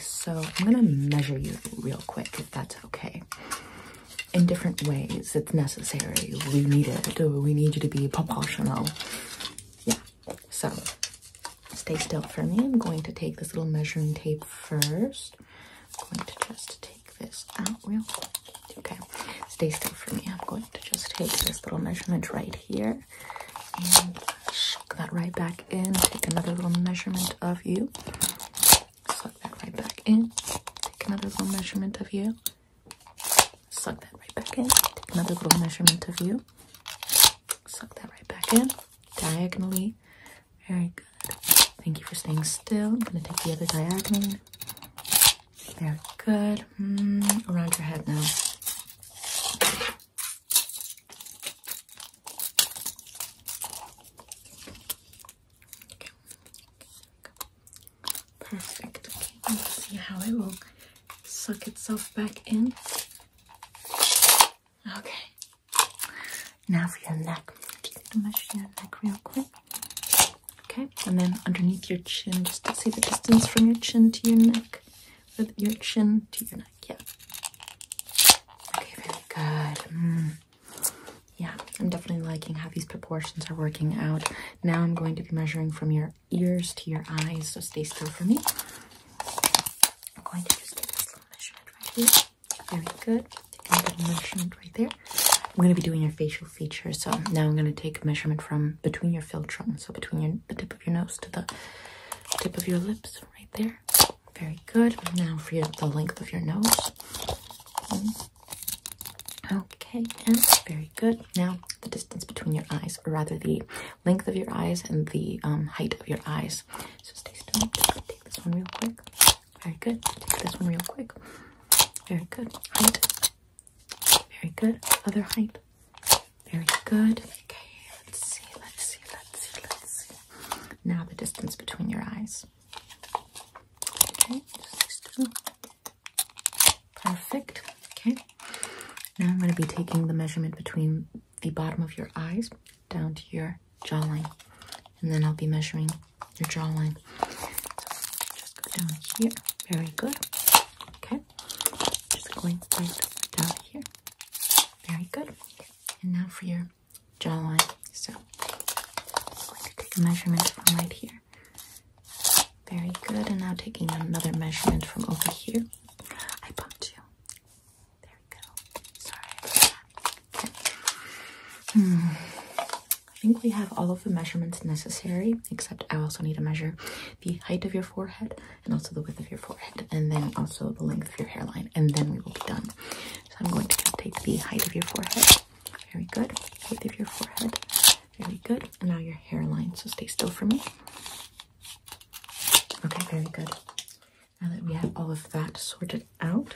so I'm gonna measure you real quick if that's okay. In different ways, it's necessary. We need it. We need you to be proportional. Yeah, so stay still for me. I'm going to take this little measuring tape first. I'm going to just take this out real quick. Okay, stay still for me. I'm going to just take this little measurement right here and shove that right back back in. Take another little measurement of you. Suck that right back in. Take another little measurement of you. Suck that right back in. Take another little measurement of you. Suck that right back in. Diagonally. Very good. Thank you for staying still. I'm going to take the other diagonal. Very good. Hmm, around your head now. Perfect. Okay, let's see how it will suck itself back in. Okay. Now for your neck. Just going to measure your neck real quick. Okay, and then underneath your chin, just to see the distance from your chin to your neck with your chin to your neck. Yeah. Okay, very good. Hmm. Yeah, I'm definitely liking how these proportions are working out. Now I'm going to be measuring from your ears to your eyes, so stay still for me. I'm going to just take this measurement right here. Very good. Take a measurement right there. I'm going to be doing your facial features. So now I'm going to take a measurement from between your philtrum, so between the tip of your nose to the tip of your lips right there. Very good. Now for the length of your nose. Hmm. Okay, and very good. Now the distance between your eyes, or rather the length of your eyes and the um, height of your eyes. So stay still. Take this one real quick. Very good. Take this one real quick. Very good. Height. Very good. Other height. Very good. Okay, let's see, let's see, let's see, let's see. Now the distance between your eyes. Okay, perfect. Okay, now I'm going to be taking the measurement between the bottom of your eyes down to your jawline, and then I'll be measuring your jawline. Just go down here. Very good. Okay, just going down here. Very good. And now for your jawline. So I'm going to take a measurement from right here. Very good. And now taking another measurement from over here. I bumped you. There we go. Sorry Hmm. I think we have all of the measurements necessary, except I also need to measure the height of your forehead, and also the width of your forehead, and then also the length of your hairline, and then we will be done. So I'm going to take the height of your forehead. Very good. Height of your forehead. Very good. And now your hairline. So stay still for me. Okay, very good. Now that we have all of that sorted out,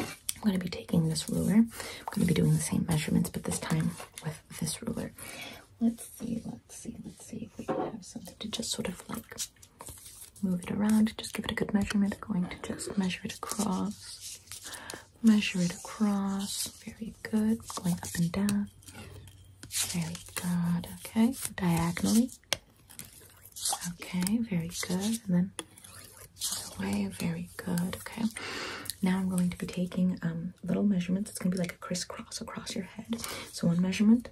I'm going to be taking this ruler. I'm going to be doing the same measurements, but this time with this ruler. Let's see, let's see, let's see if we can have something to just sort of like move it around, just give it a good measurement. I'm going to just measure it across, measure it across. Very good. Going up and down. Very good. Okay, diagonally. Okay, very good. And then away. Very good. Okay. Now I'm going to be taking um, little measurements. It's going to be like a crisscross across your head. So one measurement,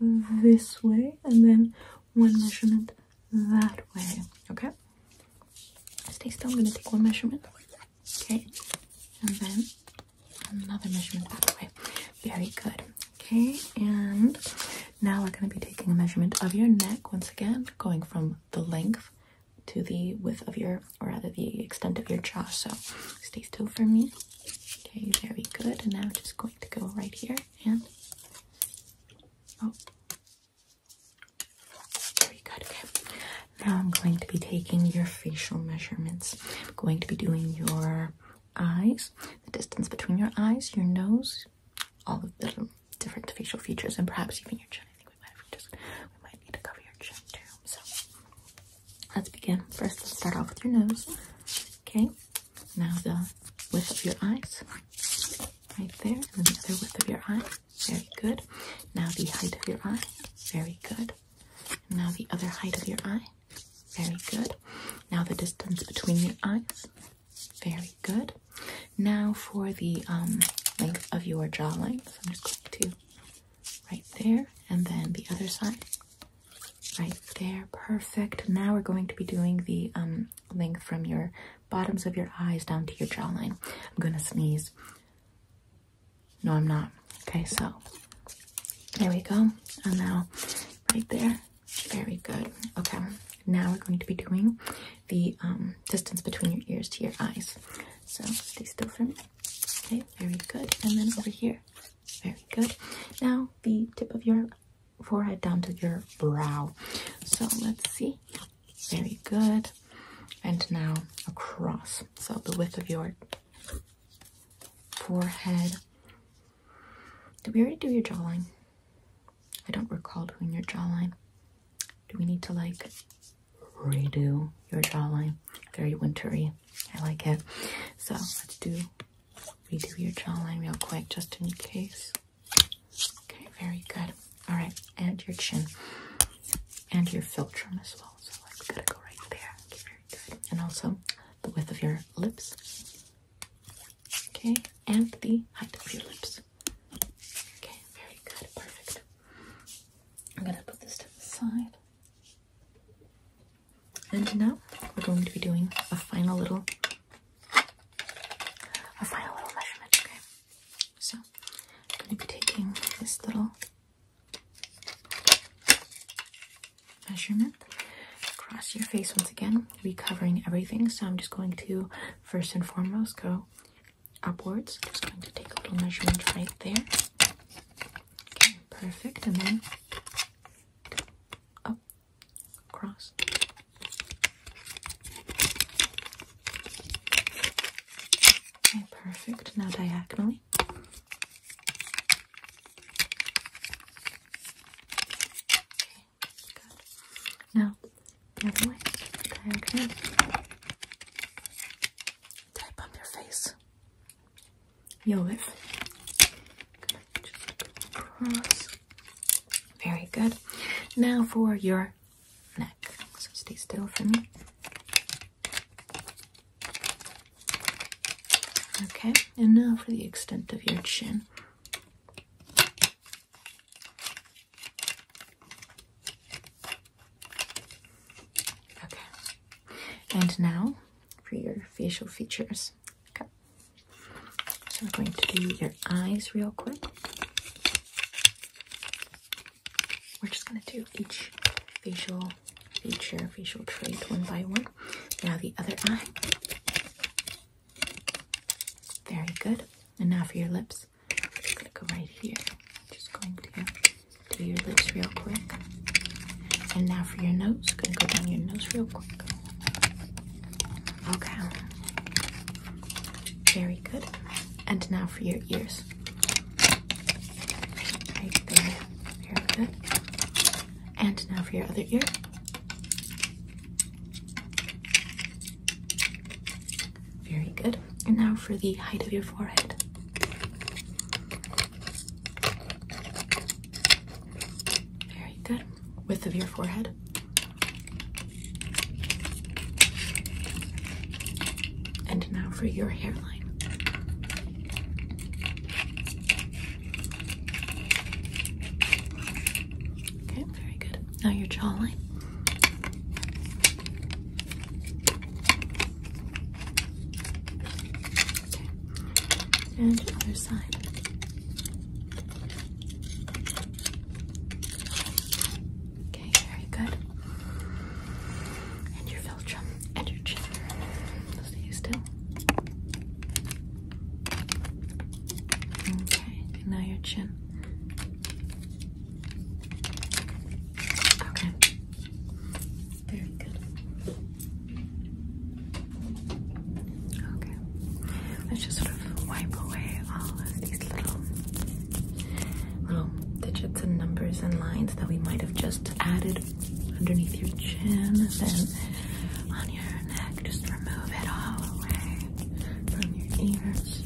this way and then one measurement that way okay stay still i'm going to take one measurement okay and then another measurement that way very good okay and now we're going to be taking a measurement of your neck once again going from the length to the width of your or rather the extent of your jaw so stay still for me okay very good and now just going to go right here and very oh. good. Okay. Now I'm going to be taking your facial measurements. I'm going to be doing your eyes, the distance between your eyes, your nose, all of the different facial features, and perhaps even your chin. I think we might just we might need to cover your chin too. So let's begin. First, let's start off with your nose. Okay, now the width of your eyes, right there, and the other width of your eye. Very good. Now the height of your eye. Very good. now the other height of your eye. Very good. Now the distance between your eyes. Very good. Now for the um, length of your jawline, length, I'm just going to right there, and then the other side right there perfect now we're going to be doing the um, length from your bottoms of your eyes down to your jawline i'm gonna sneeze no i'm not okay so there we go and now right there very good okay now we're going to be doing the um, distance between your ears to your eyes so stay still for me okay very good and then over here very good now the tip of your forehead down to your brow. So let's see. Very good. And now across. So the width of your forehead. Did we already do your jawline? I don't recall doing your jawline. Do we need to like redo your jawline? Very wintry. I like it. So let's do redo your jawline real quick just in case. Okay, very good. All right, and your chin and your philtrum as well. So it's gotta go right there. Okay, very good. And also the width of your lips. Okay, and the height of your lips. Okay, very good. Perfect. I'm gonna put this to the side. And now we're going to be doing a final little a final little measurement, okay? So I'm gonna be taking this little measurement across your face once again, recovering everything. So I'm just going to first and foremost go upwards. just going to take a little measurement right there. Okay, perfect. And then up across. Okay, perfect. Now diagonally. Okay, good. Now the other way. Diagonally. Did I bump your face? Yolif. Good. Very good. Now for your neck. So stay still for me. Okay, and now for the extent of your chin. Okay, and now for your facial features. Okay. So we're going to do your eyes real quick. We're just going to do each facial feature, facial trait one by one. Now the other eye. Very good. And now for your lips. i going to go right here. Just going to do your lips real quick. And now for your nose. Going to go down your nose real quick. Okay. Very good. And now for your ears. Right there. Very good. And now for your other ear. Very good. And now for the height of your forehead. Very good width of your forehead. And now for your hairline. Okay, very good. Now your jawline. Okay and other side. Okay, very good. And your philtrum and your chin. Stay still. Okay, and now your chin. Okay. Very good. Okay, let's just sort of wipe away all of these little little digits and numbers and lines that we might have just added underneath your chin and on your neck. Just remove it all away from your ears,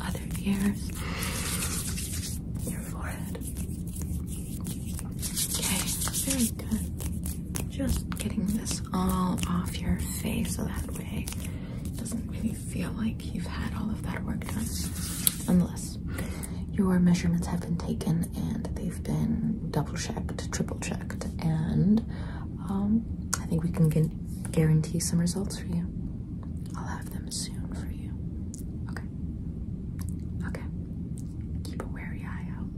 other ears, your forehead. Okay, very good. Just getting this all off your face so that way it doesn't really feel like you've had all of that work done. Unless your measurements have been taken and they've been double checked, triple checked, and um, I think we can guarantee some results for you. I'll have them soon for you. Okay. Okay. Keep a wary eye out.